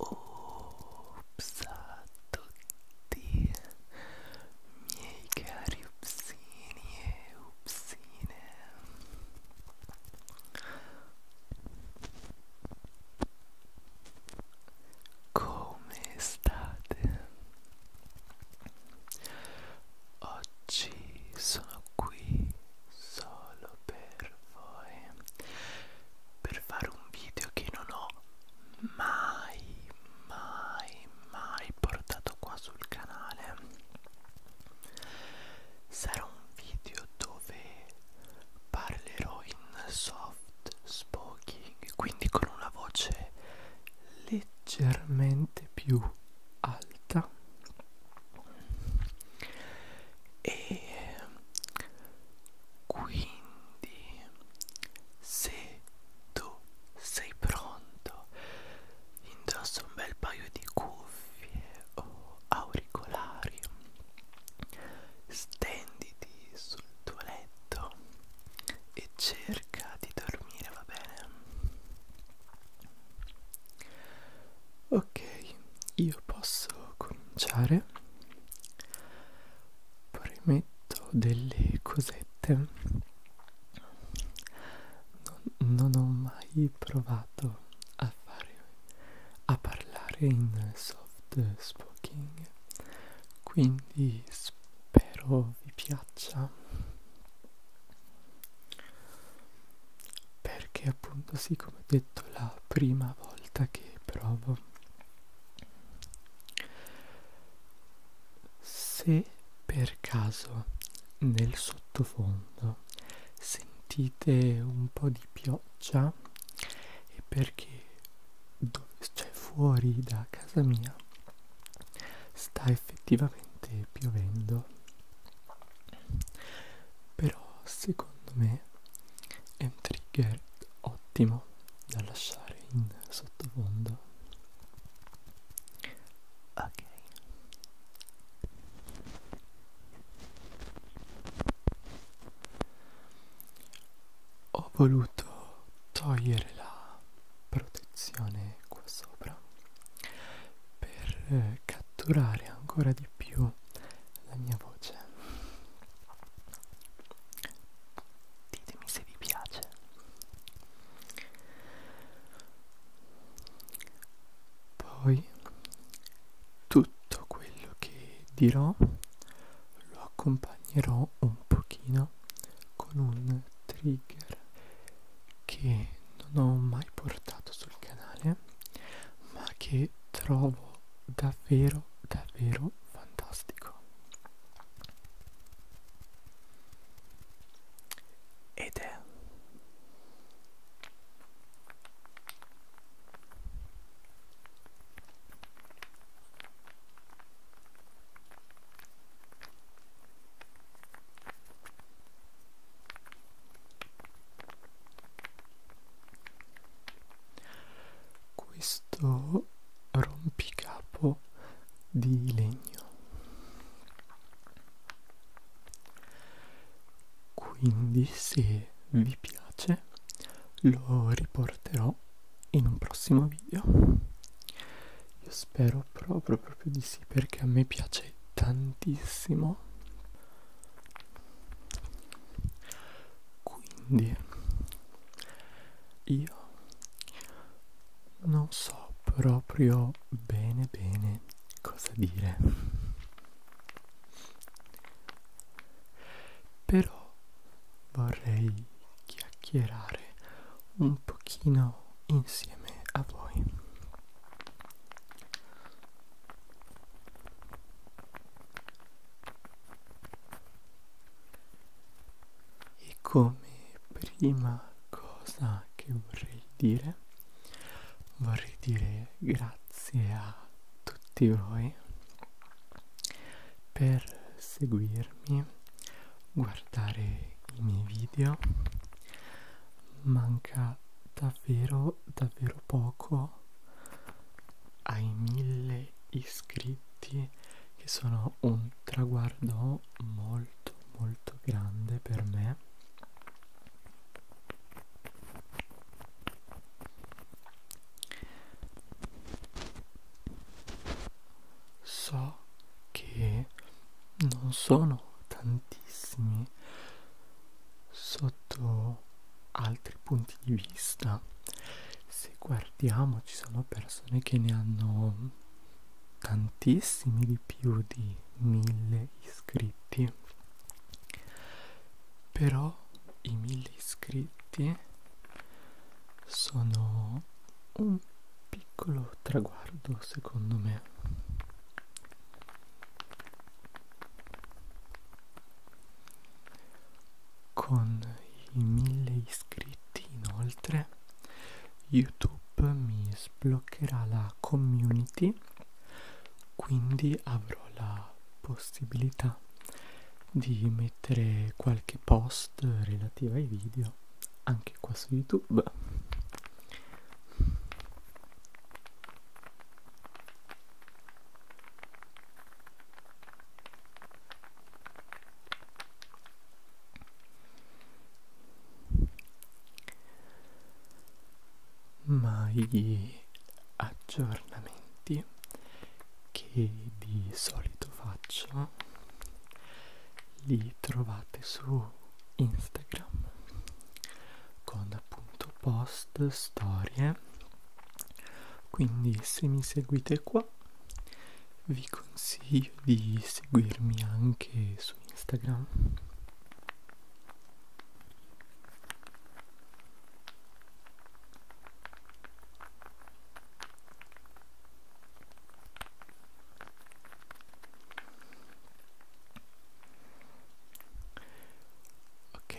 Ops a tutti miei cari upsini e upsine Come state? Oggi sono qui solo per per voi per fare un video che non ho mai mai mai portato qua sul canale sarà un video dove parlerò in soft spoking quindi con una voce leggermente più alta e quindi se tu sei pronto indossa un bel paio di cuffie o auricolari stenditi sul tuo letto e cerca di dormire va bene Ok, io posso cominciare. Premetto delle cosette. Non, non ho mai provato a fare a parlare in soft speaking, quindi spero vi piaccia perché appunto sì come detto la prima volta che provo se per caso nel sottofondo sentite un po' di pioggia è perché dove, cioè fuori da casa mia sta effettivamente piovendo però secondo me è un trigger ottimo da lasciare in sottofondo ok ho voluto togliere la protezione qua sopra per eh, catturare ancora di più la mia voce ditemi se vi piace poi tutto quello che dirò lo accompagnerò un pochino con un trigger che non ho mai portato sul canale ma che trovo davvero davvero fantastico ed è questo rompicapo di legno quindi se vi piace lo riporterò in un prossimo video io spero proprio proprio di sì perché a me piace tantissimo quindi io non so proprio bene bene cosa dire. Però vorrei chiacchierare un pochino insieme a voi. E come prima cosa che vorrei dire, vorrei dire grazie a tutti voi per seguirmi, guardare i miei video. Manca davvero davvero poco ai mille iscritti che sono un traguardo molto molto grande per me so che non sono tantissimi sotto altri punti di vista. Se guardiamo ci sono persone che ne hanno tantissimi di più di mille iscritti. Però i mille iscritti sono un piccolo traguardo secondo me con i mille iscritti inoltre YouTube mi sbloccherà la community quindi avrò la possibilità di mettere qualche post relativa ai video anche qua su YouTube ma gli aggiornamenti che di solito faccio li trovate su Instagram con appunto post, storie quindi se mi seguite qua vi consiglio di seguirmi anche su Instagram ok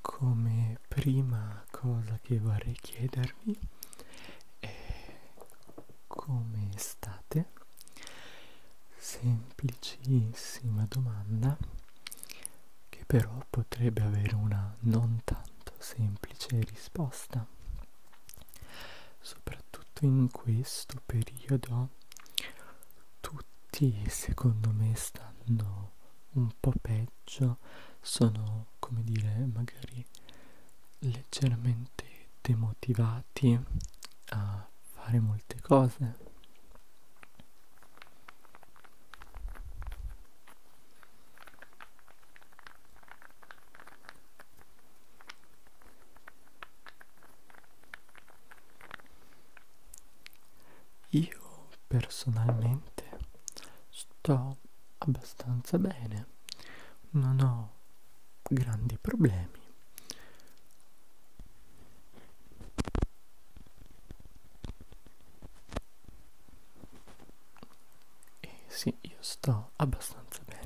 come prima cosa che vorrei chiedervi è come state semplicissima domanda che però potrebbe avere una non tanto semplice risposta soprattutto in questo periodo tutti secondo me stanno un po' peggio, sono come dire magari leggermente demotivati a fare molte cose. Io personalmente sto abbastanza bene, non ho grandi problemi. E eh sì, io sto abbastanza bene.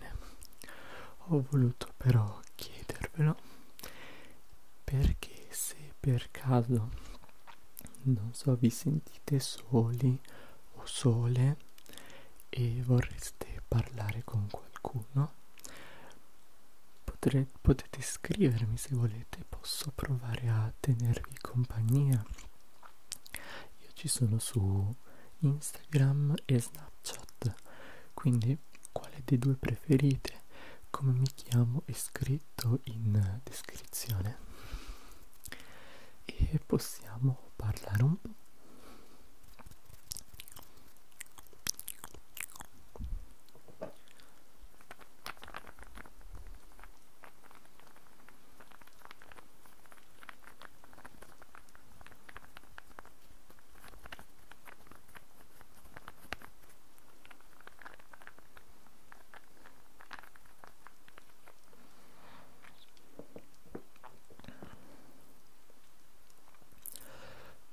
Ho voluto però chiedervelo perché se per caso non so vi sentite soli o sole e vorreste parlare con qualcuno potre, potete scrivermi se volete posso provare a tenervi compagnia io ci sono su Instagram e Snapchat quindi quale dei due preferite come mi chiamo è scritto in descrizione e possiamo parlare un po'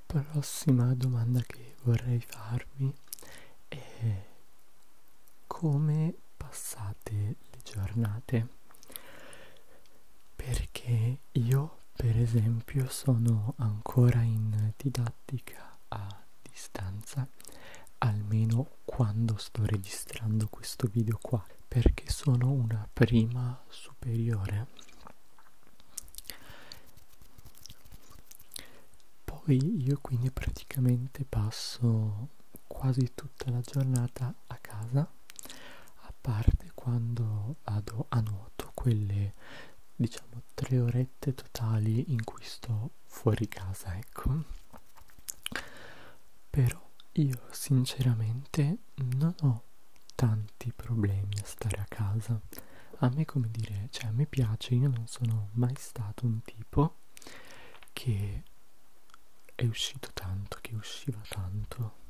Prossima domanda che vorrei farvi è come passate le giornate? Perché io per esempio sono ancora in didattica a distanza almeno quando sto registrando questo video qua perché sono una prima superiore poi io quindi praticamente passo quasi tutta la giornata a casa a parte quando vado a nuoto quelle diciamo tre ore orette totali in cui sto fuori casa, ecco. Però io sinceramente non ho tanti problemi a stare a casa. A me come dire, cioè a me piace, io non sono mai stato un tipo che è uscito tanto, che usciva tanto.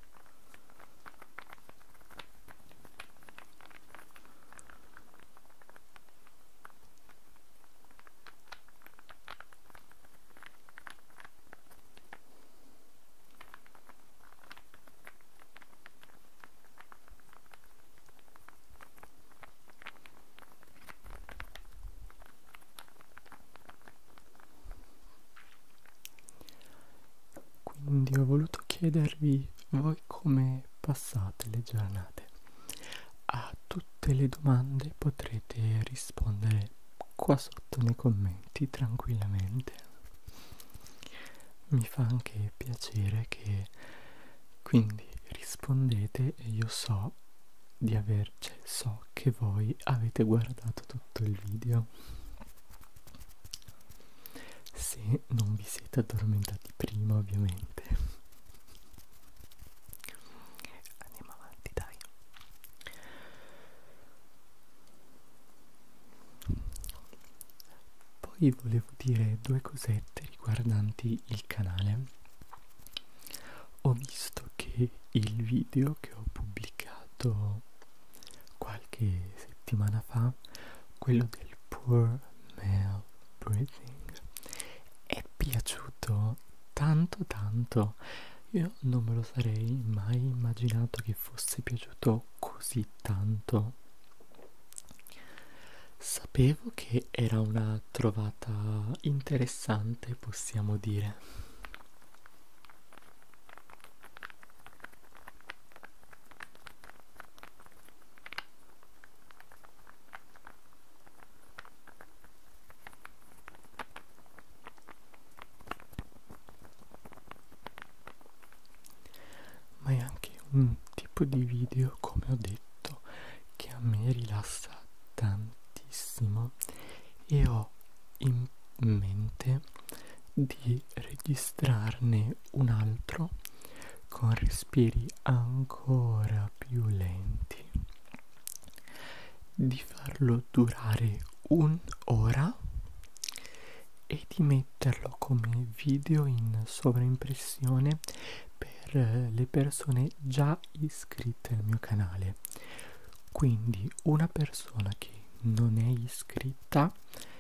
Quindi ho voluto chiedervi voi come come passate le giornate. A tutte le domande potrete rispondere qua sotto nei commenti tranquillamente. Mi fa anche piacere che quindi rispondete e io so di averci, cioè so che voi avete guardato tutto il video. Se non vi siete addormentati di prima ovviamente andiamo avanti dai poi volevo dire due cosette riguardanti il canale ho visto che il video che ho pubblicato qualche settimana fa quello del il Poor Male Breathing è piaciuto tanto tanto io non me lo sarei mai immaginato che fosse piaciuto così tanto sapevo che era una trovata interessante possiamo dire ma è anche un tipo di video come ho detto che a me rilassa tantissimo e ho in mente di registrarne un altro con respiri ancora più lenti di farlo durare un'ora e di metterlo come video in sovraimpressione per le persone già iscritte al mio canale quindi una persona che non è iscritta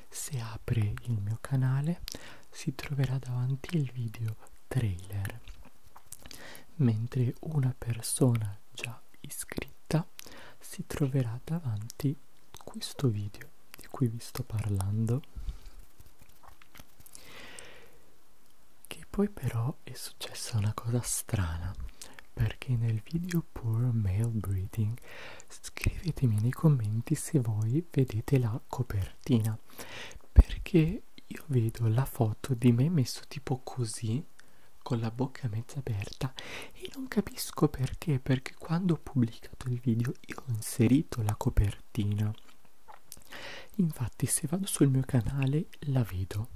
se apre il mio canale si troverà davanti il video trailer mentre una persona già iscritta si troverà davanti questo video di cui vi sto parlando che poi però è successa una cosa strana perché nel video Poor Male Breeding scrivetemi nei commenti se voi vedete la la copertina perché io vedo la foto di me messo tipo così con la bocca mezza aperta e non capisco perché perché quando ho pubblicato il video io ho inserito la copertina infatti se vado sul mio canale la vedo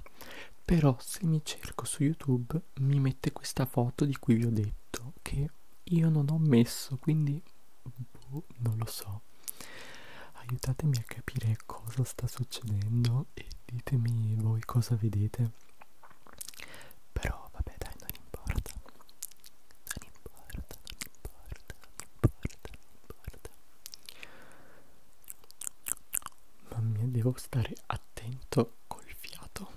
però se mi cerco su youtube mi mette questa foto di cui vi ho detto che io non ho messo quindi boh, non lo so aiutatemi a capire cosa sta succedendo e ditemi voi cosa vedete però vabbè dai non importa non importa non importa non importa non importa mamma mia devo stare attento col fiato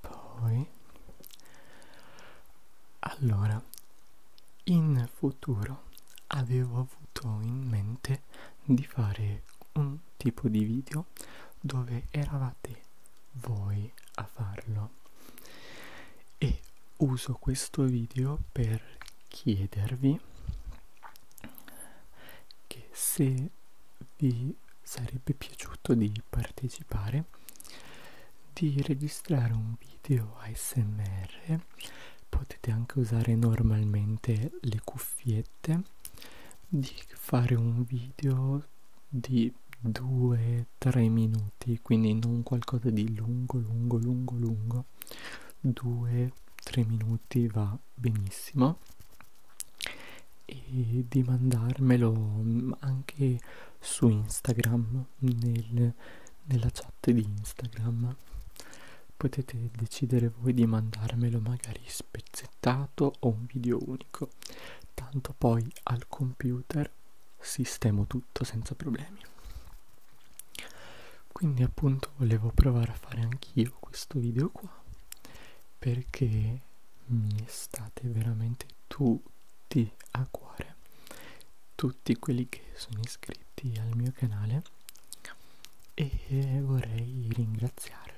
poi allora in futuro avevo avuto in mente di fare un tipo di video dove eravate voi a farlo e uso questo video per chiedervi che se vi sarebbe piaciuto di partecipare di registrare un video ASMR potete anche usare normalmente le cuffiette di fare un video di 2-3 minuti quindi non qualcosa di lungo lungo lungo lungo 2-3 minuti va benissimo e di mandarmelo anche su Instagram, nel, nella chat di Instagram. Potete decidere voi di mandarmelo magari spezzettato o un video unico, tanto poi al computer sistemo tutto senza problemi. Quindi appunto volevo provare a fare anch'io questo video qua perché mi state veramente tu tutti a cuore tutti quelli che sono iscritti al mio canale e vorrei ringraziarvi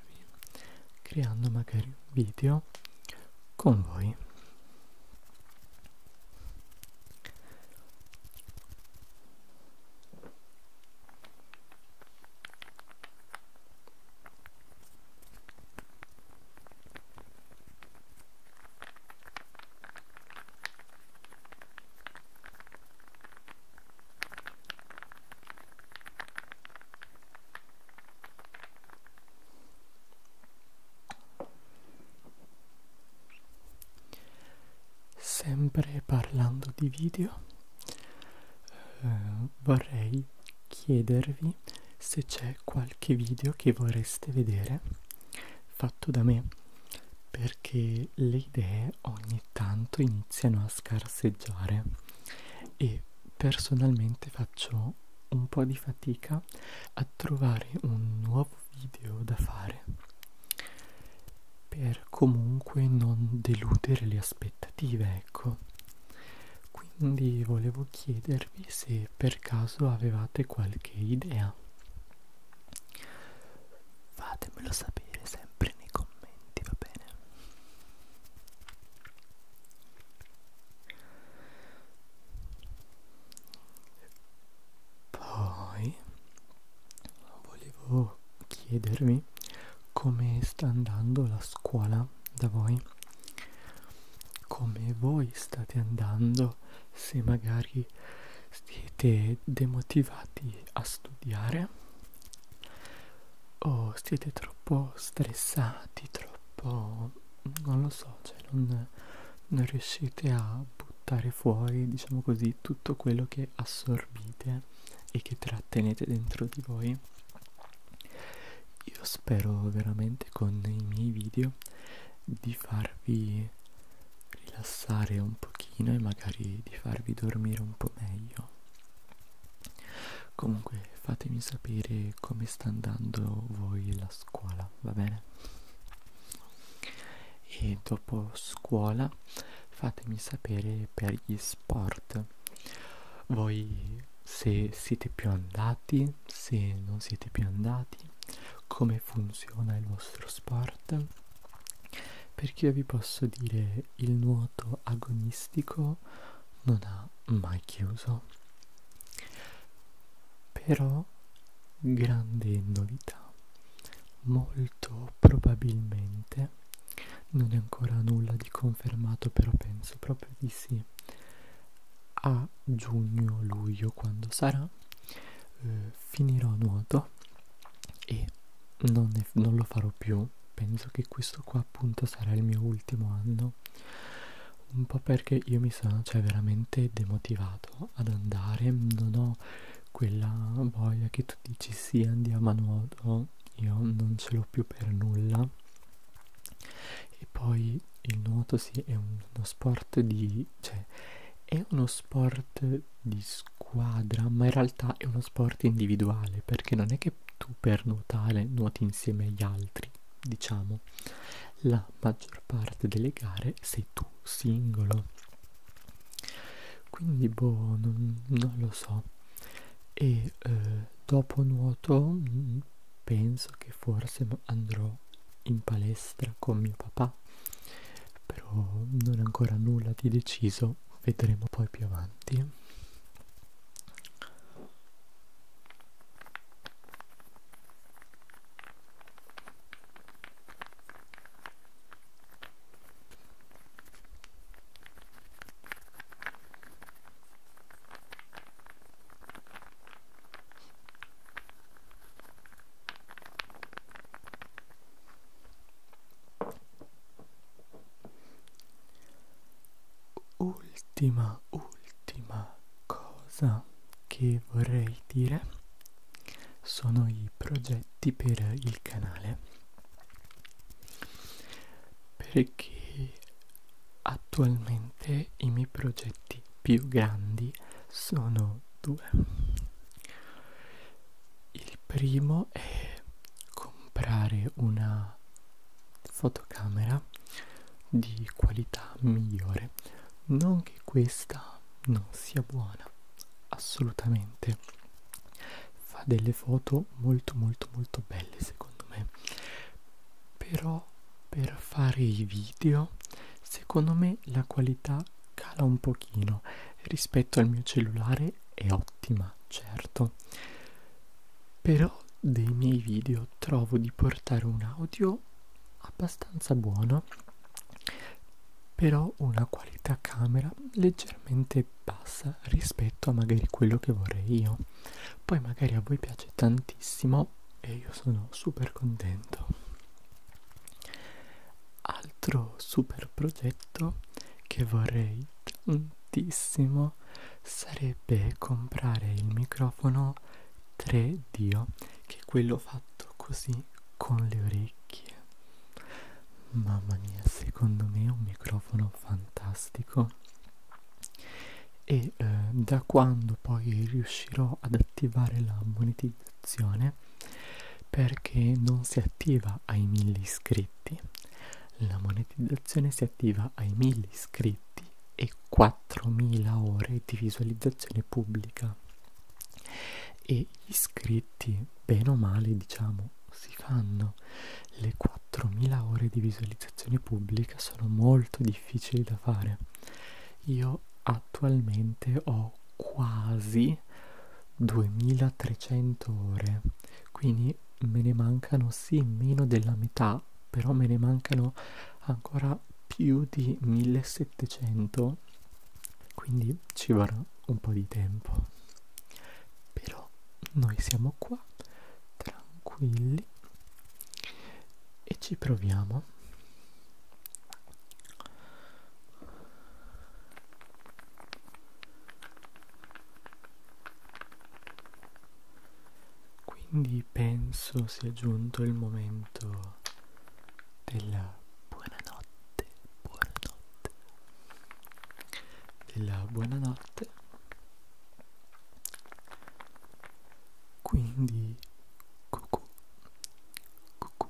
creando magari video con voi Sempre parlando di video, eh, vorrei chiedervi dirmi se c'è qualche video che vorreste vedere fatto da me perché le idee ogni tanto iniziano a scarseggiare e personalmente faccio un po' di fatica a trovare un nuovo video da fare per comunque non deludere le aspettative ecco quindi volevo chiedervi se per caso avevate qualche idea fatemelo sapere sempre nei commenti va bene poi volevo chiedervi come sta andando la scuola da voi come voi state andando se magari siete demotivati a studiare o siete troppo stressati troppo non lo so cioè non, non riuscite a buttare fuori diciamo così tutto quello che assorbite e che trattenete dentro di voi io spero veramente con i miei video di farvi rilassare un pochino e magari di farvi dormire un po' meglio. Comunque fatemi sapere come sta andando voi la scuola, va bene? E dopo scuola fatemi sapere per gli sport. Voi se siete più andati, se non siete più andati, come funziona il vostro sport. Perché io vi posso dire il nuoto agonistico non ha mai chiuso. Però grande novità, molto probabilmente non è ancora nulla di confermato, però penso proprio di sì a giugno-luglio quando sarà eh, finirò nuoto e non, ne, non lo farò più penso che questo qua appunto sarà il mio ultimo anno un po' perché io mi sono cioè veramente demotivato ad andare non ho quella voglia che tu dici sì andiamo a nuoto io non ce l'ho più per nulla e poi il nuoto sì, è uno sport di... cioè è uno sport di squadra, ma in realtà è uno sport individuale, perché non è che tu per nuotare nuoti insieme agli altri, diciamo. La maggior parte delle gare sei tu singolo. Quindi boh, non, non lo so. E eh, dopo nuoto mm, penso che forse andrò in palestra con mio papà, però non è ancora nulla di deciso, vedremo poi più avanti. Ultima, ultima cosa che vorrei dire sono i progetti per il canale perché Attualmente i miei progetti più grandi sono due. Il primo è comprare una fotocamera di qualità migliore. Non che questa non sia buona, assolutamente. Fa delle foto molto molto molto belle secondo me, però per fare i video secondo me la qualità cala un pochino rispetto al mio cellulare è ottima certo però dei miei video trovo di portare un audio abbastanza buono però una qualità camera leggermente bassa rispetto a magari quello che vorrei io poi magari a voi piace tantissimo e io sono super contento. Altro super progetto che vorrei tantissimo sarebbe comprare il microfono 3D che è quello fatto così con le orecchie. Mamma mia, secondo me è un microfono fantastico e eh, da quando poi riuscirò ad attivare la monetizzazione perché non si attiva ai 1000 iscritti la monetizzazione si attiva ai 1000 iscritti e 4000 ore di visualizzazione pubblica e gli iscritti bene o male diciamo si fanno le 4000 ore di visualizzazione pubblica sono molto difficili da fare io attualmente ho quasi 2300 ore, quindi me ne mancano sì meno della metà, però me ne mancano ancora più di 1700, quindi ci vorrà un po' di tempo. Però noi siamo qua tranquilli e ci proviamo quindi penso sia giunto il momento della buonanotte buonanotte della buonanotte quindi cucù cucù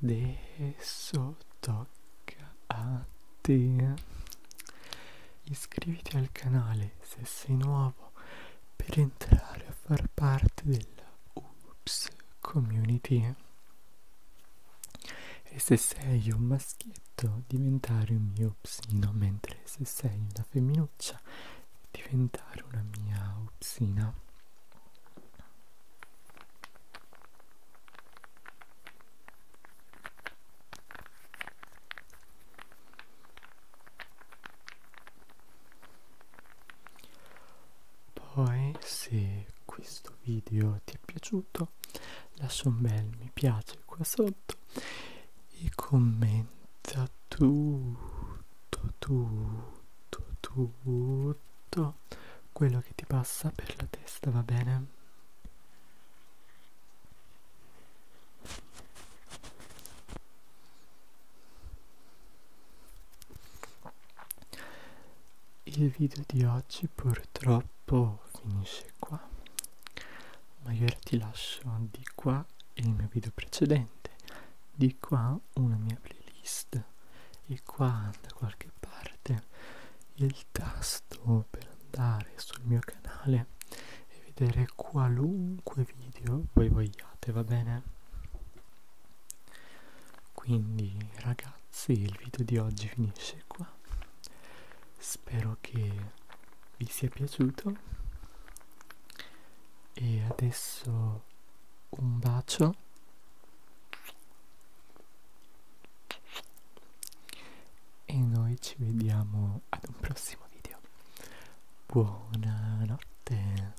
adesso tocca a te iscriviti al canale se sei nuovo per entrare a far parte della Oops Community e se sei un maschietto diventare un mio psino mentre sempre se sei una femminuccia diventare una mia upsina poi se questo video ti è piaciuto lascia un bel mi piace qua sotto tutto e commenta tutto, tutto, tutto quello che ti passa per la testa, va bene? Il video di oggi purtroppo finisce qua ma io ora ti lascio di qua il mio video precedente, di qua una mia playlist e qua da qualche parte il tasto per andare sul mio canale e vedere qualunque video voi vogliate, va bene? Quindi ragazzi il video di oggi finisce qua spero che vi sia piaciuto e adesso un bacio e noi ci vediamo ad un prossimo video buonanotte